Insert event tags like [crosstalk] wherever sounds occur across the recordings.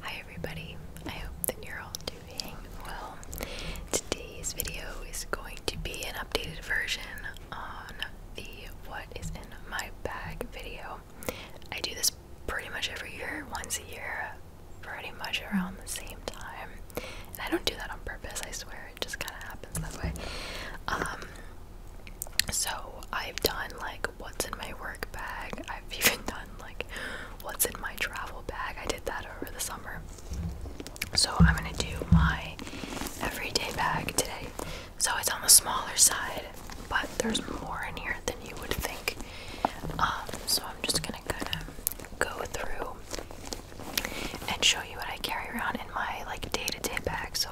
Hi everybody, I hope that you're all doing well. Today's video is going to be an updated version on the what is in my bag video. I do this pretty much every year, once a year, pretty much around the same time. And I don't do that on purpose, I swear, it just kinda happens that way. Um so I've done like what's in my work bag. I've [laughs] even done like what's in my travel bag. I did that over the summer. So I'm gonna do my everyday bag today. So it's on the smaller side, but there's more in here than you would think. Um, so I'm just gonna kind of go through and show you what I carry around in my like day-to-day bag. So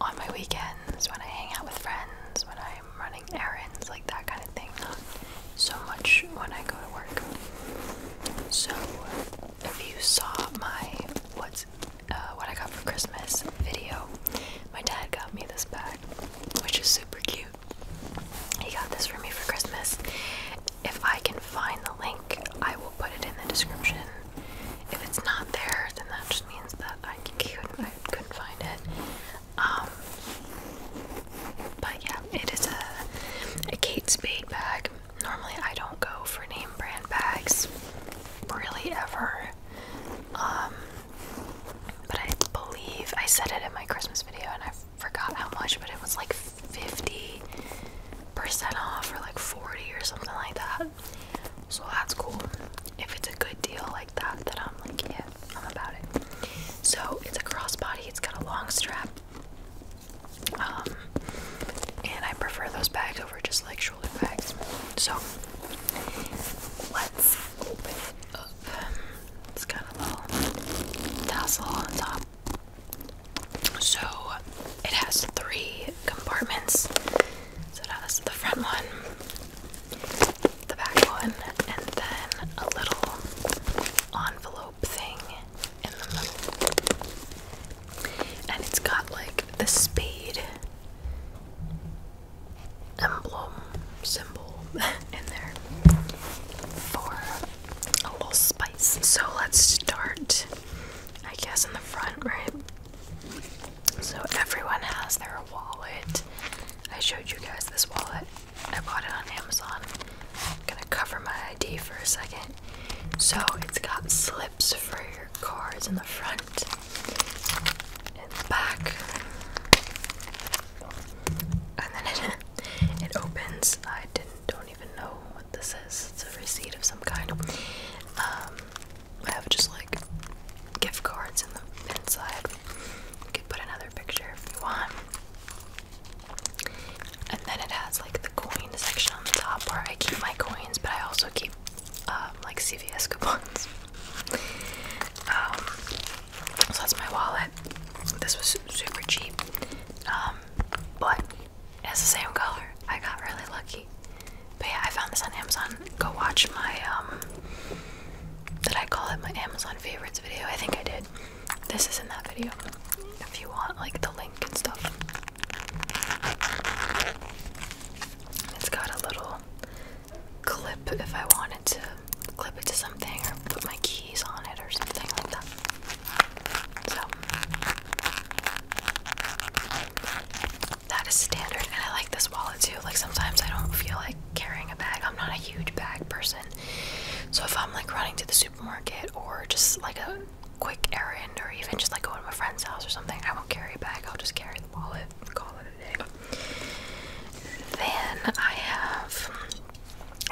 on my weekends, when I hang out with friends, when I'm running errands, like that kind of thing. Not so much when I go to work. So if you saw my what's uh, what I got for Christmas video, my dad got me this bag, which is super cute. He got this for me for Christmas. If I can find the link, I will put it in the description. If it's not there, then that just means that I couldn't, I couldn't find it. Um, but yeah, it is a, a Kate Spade bag. Normally, I don't go for name brand bags, really ever. Um, but I believe I said it in my Christmas video and I forgot how much, but it was like 50% off or like 40 or something like that. So that's cool. If it's a good deal like that, then I'm like, yeah, I'm about it. So it's a crossbody, it's got a long strap. Um, and I prefer those bags over just like shoulder bags. So let's open it up. It's got a little tassel on top. So it has three compartments. So it has the front one, the back one, and then a little envelope thing in the middle. And it's got like the spade emblem symbol in there for a little spice. So let's start, I guess, in the front, right? So everyone has their wallet. I showed you guys this wallet. I bought it on Amazon. I'm gonna cover my ID for a second. So it's got slips for your cards in the front and back and then it, [laughs] it opens. I don't even know what this is. It's a receipt of some kind. Um, I have just like gift cards in the inside. You can put another picture if you want. And then it has like the coin section on the top where I keep my coins, but I also keep um, like CVS coupons. [laughs] Um, so that's my wallet. This was super cheap, um, but it's the same color. I got really lucky. But yeah, I found this on Amazon. Go watch my um, Did I call it my Amazon favorites video? I think I did. This is in that video. If you want, like the link and stuff. It's got a little clip if I wanted to clip it to something or put my keys on it or something like that. So that is standard and I like this wallet too. Like sometimes I don't feel like carrying a bag. I'm not a huge bag person. So if I'm like running to the supermarket or just like a quick errand or even just like going to my friend's house or something, I won't carry a bag. I'll just carry the wallet, call it then I have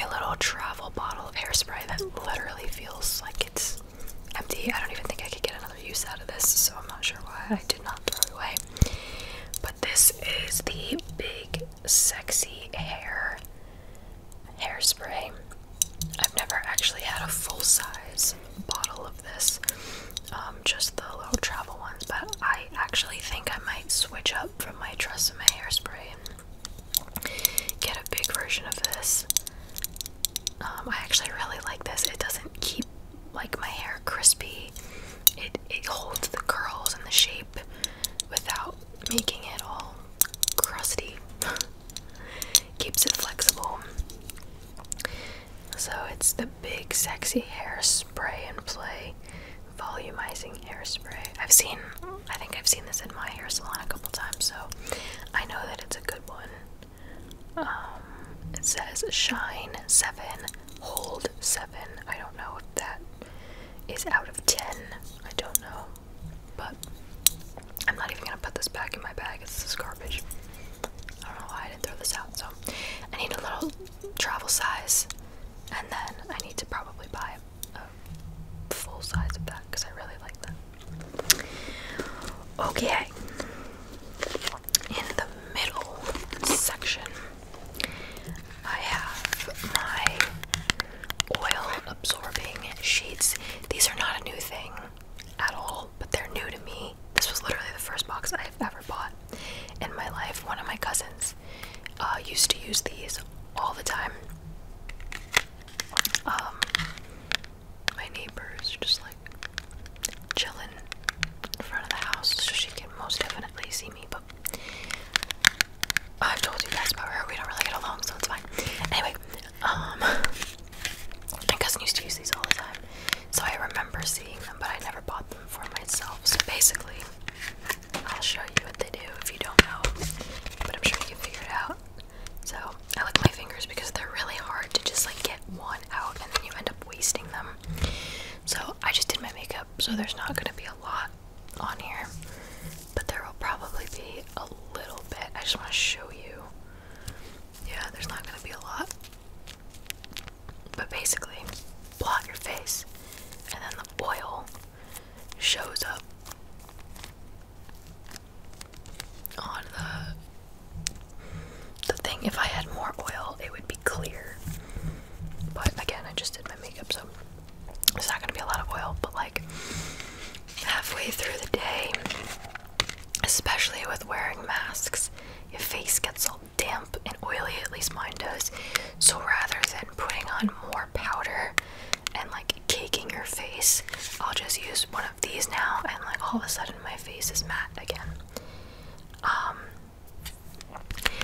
a little travel bottle of hairspray that literally feels like it's empty. I don't even think I could get another use out of this, so I'm not sure why I did not throw it away. But this is the big sexy hair hairspray. I've never actually had a full size bottle of this. Um, just the little travel ones, but I actually think I might switch up from my Tresemme hairspray and get a big version of this. Um, I actually really like this. It doesn't keep like my hair crispy. It it holds the curls and the shape without making it all crusty. [laughs] Keeps it flexible. So it's the big sexy hairspray and play volumizing hairspray. I've seen I think I've seen this in my hair salon a couple times, so I know that it's a good one. Um, it says shine 7, hold 7. I don't know if that is out of 10. I don't know. But I'm not even going to put this back in my bag. This is garbage. I don't know why I didn't throw this out. So I need a little travel size, and then I need to probably buy a full size of that because I really like that. Okay, in the middle section, I have my oil absorbing sheets. These are not a new thing at all, but they're new to me. This was literally the first box I've ever bought in my life. One of my cousins uh, used to use these all the time. Um, my neighbors are just like chilling in front of the house, so she can most definitely see me. But I've told you guys about her. We don't really get along, so it's fine. Anyway, um, [laughs] my cousin used to use these all the time. So I remember seeing them, but I never bought them for myself. So basically, I'll show you what they do if you don't know, but I'm sure you can figure it out. So I lick my fingers because they're really hard to just like get one out and then you end up wasting them. So I just did my makeup, so there's not going to be a lot on here, but there will probably be a little bit. I just want to show you. Yeah, there's not going to be a lot. But basically, blot your face, and then the oil shows up on the the thing. If I had more oil, it would be clear. But again, I just did my makeup, so it's not gonna be a lot of oil. But like halfway through the day, especially with wearing masks, your face gets all damp and oily, at least mine does. So rather than putting on more powder and like caking your face, I'll just use one of these now, and like all of a sudden my face is matte again. Um,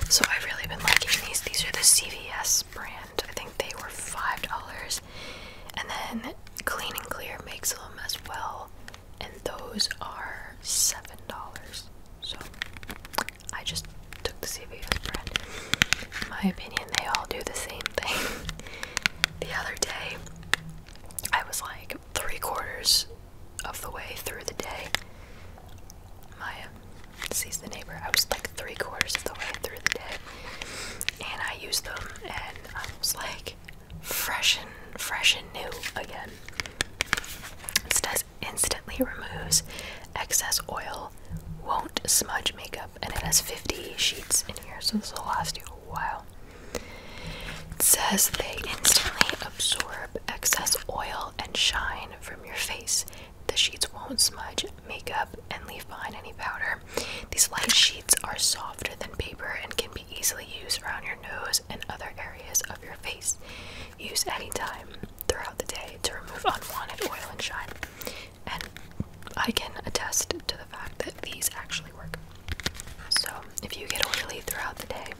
so I've really been liking these. These are the CVS brand. I think they were five dollars, and then Clean and Clear makes them as well and those are seven dollars. So I just took the CVS brand. In my opinion, they all do the same thing. [laughs] the other day, I was like three quarters of the way through the day. Maya um, sees the neighbor. I was like three quarters of the way through the day, and I used them, and I was like, fresh and fresh and new again. It instantly removes excess oil, won't smudge makeup, and it has 50 sheets in here, so this will last you a while. It says they instantly absorb excess oil and shine from your face. The sheets won't smudge makeup and leave behind any powder. These light sheets are softer than paper and can be easily use around your nose and other areas of your face. Use any time throughout the day to remove unwanted oil and shine. And I can attest to the fact that these actually work. So if you get oily throughout the day,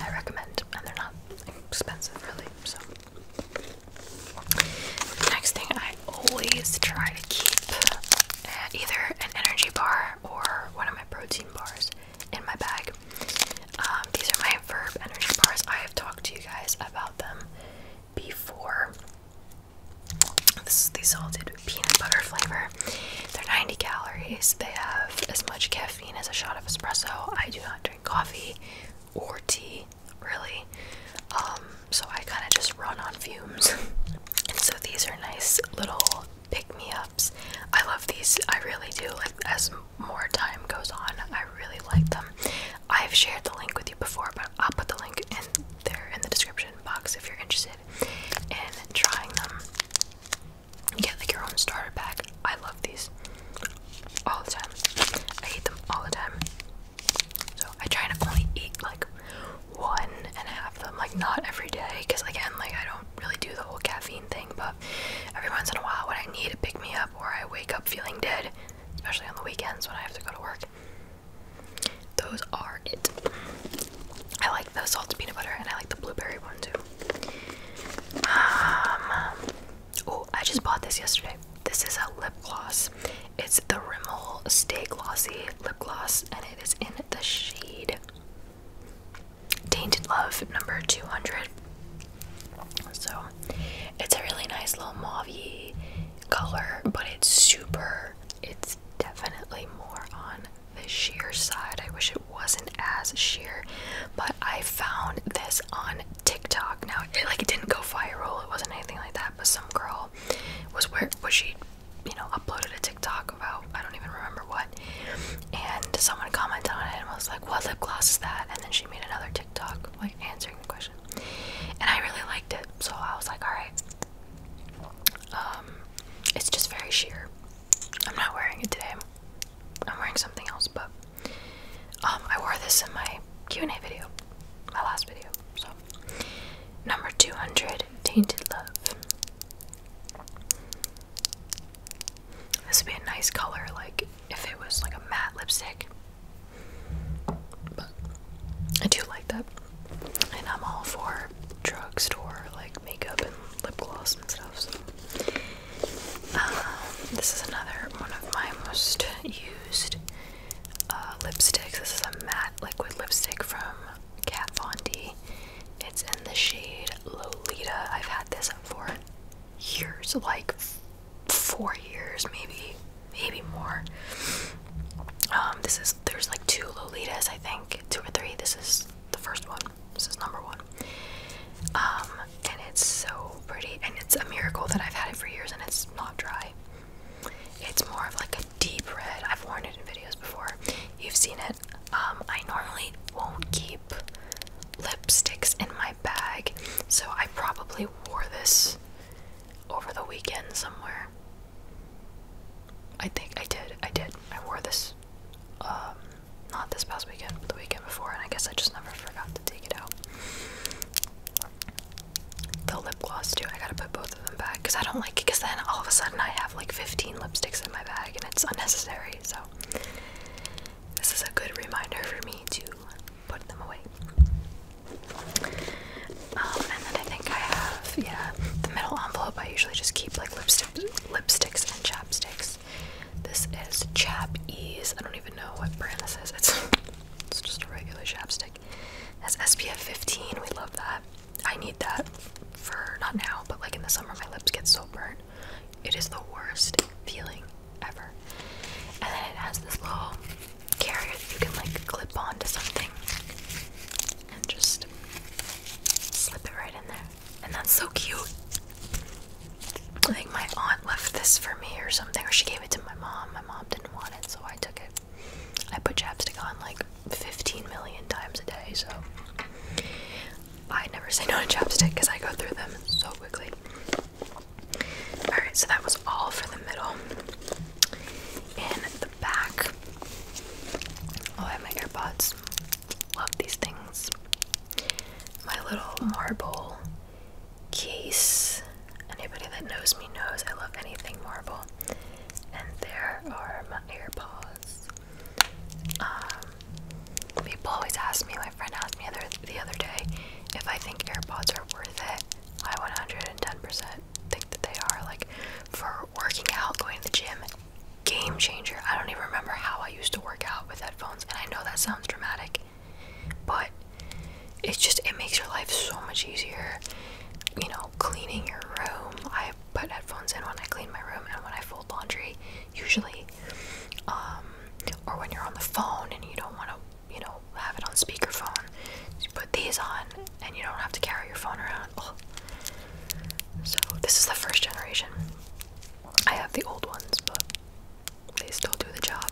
I recommend, and they're not expensive really. So next thing I always try keep uh, either an energy bar or one of my protein bars in my bag. Um, these are my Verb energy bars. I have talked to you guys about them before. This is the salted peanut butter flavor. They're 90 calories. They have as much caffeine as a shot of espresso. I do not drink coffee or tea, really. Um, so I kind of just run on fumes. [laughs] and so these are nice little pick me ups. I love these, I really do. Like, as more time goes on, I really like them. I've shared the link with you before, but I'll put the link in there in the description box if you're interested in trying them. get like your own starter pack. I love these all the time. I hate them all the time. So I try to only eat like one and have them like not every day because again like I don't really do the whole caffeine thing but every once in a while when I need to pick me up or I wake up feeling dead, especially on the weekends when I have to go to work. Those are it. I like the salted peanut butter and I like the blueberry one too. oh I just bought this yesterday. This is a lip gloss it's the Rimmel Stay Glossy Lip Gloss, and it is in the shade Tainted Love number 200. So it's a really nice little mauvey color, but it's super, it's definitely more on the sheer side. I wish it wasn't as sheer, but I found this on TikTok. Now, like it didn't go viral, it wasn't anything like that, but some girl was where was she you know, uploaded a TikTok about I don't even remember what, and someone commented on it and was like, "What lip gloss is that?" And then she made another TikTok like answering the question, and I really liked it, so I was like, "All right." Um, it's just very sheer. I'm not wearing it today. I'm wearing something else, but um, I wore this in my Q&A video, my last video. So Number 200 Tainted Love. This would be a nice color, like if it was like a matte lipstick. But I do like that. And I'm all for drugstore, like makeup and lip gloss and stuff. So. Um, this is another one of my most used uh, lipsticks. This is a matte liquid lipstick from Kat Von D. It's in the shade Lolita. I've had this for years, like four years, maybe, maybe more. Um, this is there's like two Lolitas, I think, two or three. This is the first one. This is number one. Um, and it's so pretty, and it's a miracle that I've had it for years and it's not dry. It's more of like a deep red. I've worn it in videos before. You've seen it. Um, I normally won't keep lipsticks in my bag, so I probably wore this over the weekend somewhere. I think I did. I did. I wore this um, not this past weekend, but the weekend before, and I guess I just never forgot to take it out the lip gloss too. I gotta put both of them back because I don't like it. Because then all of a sudden I have like 15 lipsticks in my bag and it's unnecessary. So this is a good reminder for me to put them away. Um, and then I think I have yeah the middle envelope. I usually just keep like lipstick, lipsticks and chapsticks. This is Chap Ease. I don't even know what brand this is. It's [laughs] it's just a regular chapstick back. SPF 15. We love that. I need that for not now, but like in the summer, my lips get so burnt. It is the worst feeling ever. And then it has this little carrier that you can like clip onto something and just slip it right in there. And that's so cute. I think my aunt left this for me or something, or she gave it to my mom. My mom didn't want it, so I took it. I put chapstick on like 15 million times a day, so I never say no to chapstick because I go through them so quickly. Alright, so that was all for the middle. In the back, oh, I have my earbuds. Love these things. My little marble case. Anybody that knows me knows I love anything marble. And there are my AirPods. Um, people always ask me, my friend asked me other, the other day if I think AirPods are worth it. I 110 think that they are. Like, for working out, going to the gym, game changer. I don't even remember how I used to work out with headphones, and I know that sounds dramatic, but it's just it makes your life so much easier you know cleaning your room i put headphones in when i clean my room and when i fold laundry usually um or when you're on the phone and you don't want to you know have it on speakerphone you put these on and you don't have to carry your phone around so this is the first generation i have the old ones but they still do the job.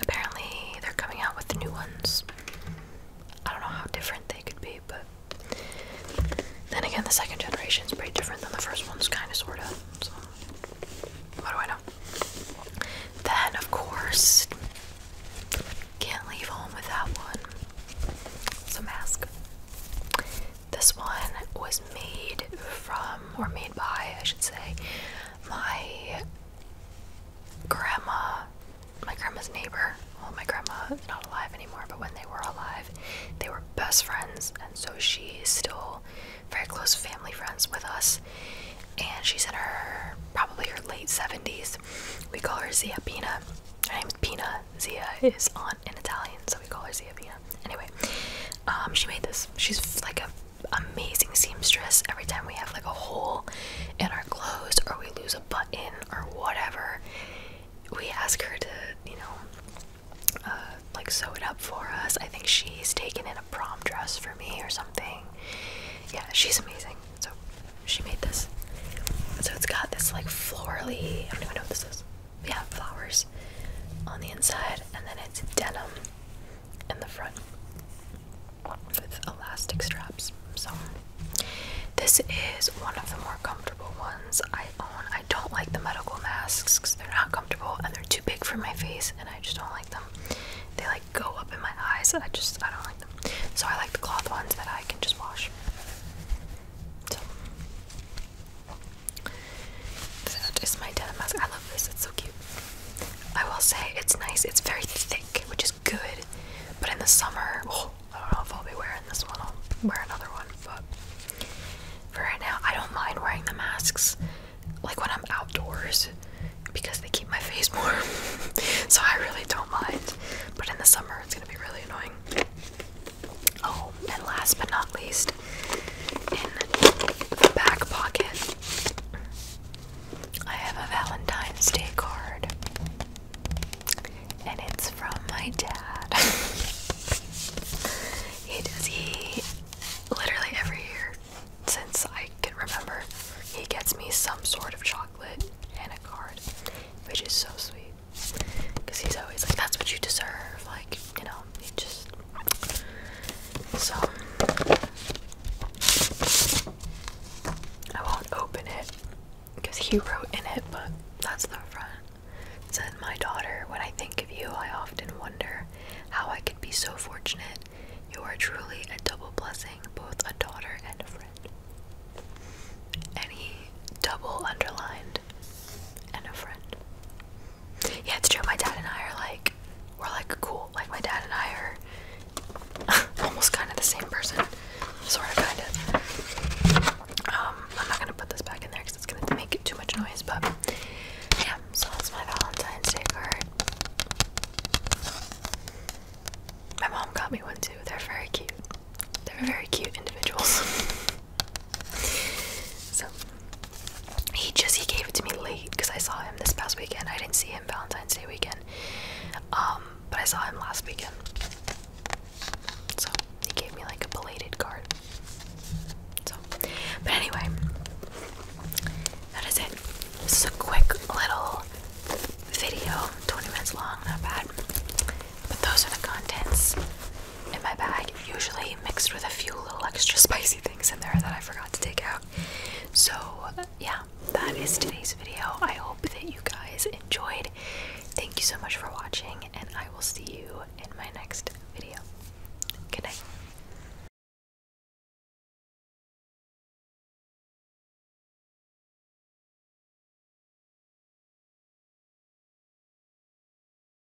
Apparently, they're coming out with new ones. I don't know how different they could be, but then again, the second generation is pretty different than the first one's kind of sort of. So, what do I know? Then, of course, can't leave home without one. It's mask. This one was made from, or made by, I should say, my grandma, my grandma's neighbor. Well, my grandma is not alive anymore, but when they were alive, they were best friends, and so she's still very close family friends with us. And she's in her probably her late 70s. We call her Zia Pina. Her name's Pina. Zia is aunt in Italian, so we call her Zia Pina. Anyway, um, she made this. She's like a amazing seamstress every time we have like a hole in our clothes or we lose a button or whatever. We ask her to, you know, uh, like sew it up for us. I think she's taken in a prom dress for me or something. Yeah, she's amazing. So she made this. So it's got this like florally, I don't even know what this is. Yeah, flowers on the inside, and then it's denim in the front with elastic straps. So, this is one of the more comfortable ones I own. I don't like the medical masks because they're not comfortable and they're too big for my face, and I just don't like them. They like go up in my eyes. I just I don't like them. So I like the cloth ones that I can just wash. So that is my denim mask. I love this. It's so cute. I will say it's nice. It's very thick, which is good. But in the summer, oh, I don't know if I'll be wearing this one. I'll wear another one. But for right now, I don't mind wearing the masks, like when I'm outdoors, because they keep my face [laughs] warm. so I really don't mind. But in the summer, it's gonna be really annoying. Oh, and last but not least, in the back pocket, I have a Valentine's Day card, and it's from my dad. [laughs] he does, he literally every year since I can remember, he gets me some sort of chocolate and a card, which is so sweet because he's always like, That's what you deserve. Like, you know, you just so I won't open it because he wrote in it, but that's the front. said, My daughter, when I think of you, I often wonder how I could be so fortunate. You are truly a double blessing, both a daughter and friend. And he double underlined and a friend. Yeah, it's true. My dad and I are like, we're like cool. Like, my dad and I are [laughs] almost kind of the same person. Sort of, kind of. Um, I'm not gonna put this back in there because it's gonna make too much noise, but yeah, so that's my Valentine's Day card. My mom got me one too. They're very cute. They're very cute individuals. [laughs] So he just he gave it to me late because I saw him this past weekend. I didn't see him Valentine's Day weekend, um, but I saw him last weekend. So he gave me like a belated card. So, but anyway, that is it. This is a quick little video, 20 minutes long, not bad. But those are the contents in my bag, usually mixed with a few little extra [laughs] spicy things in there that I forgot to take out. So, yeah, that is today's video. I hope that you guys enjoyed. Thank you so much for watching, and I will see you in my next video. Good night.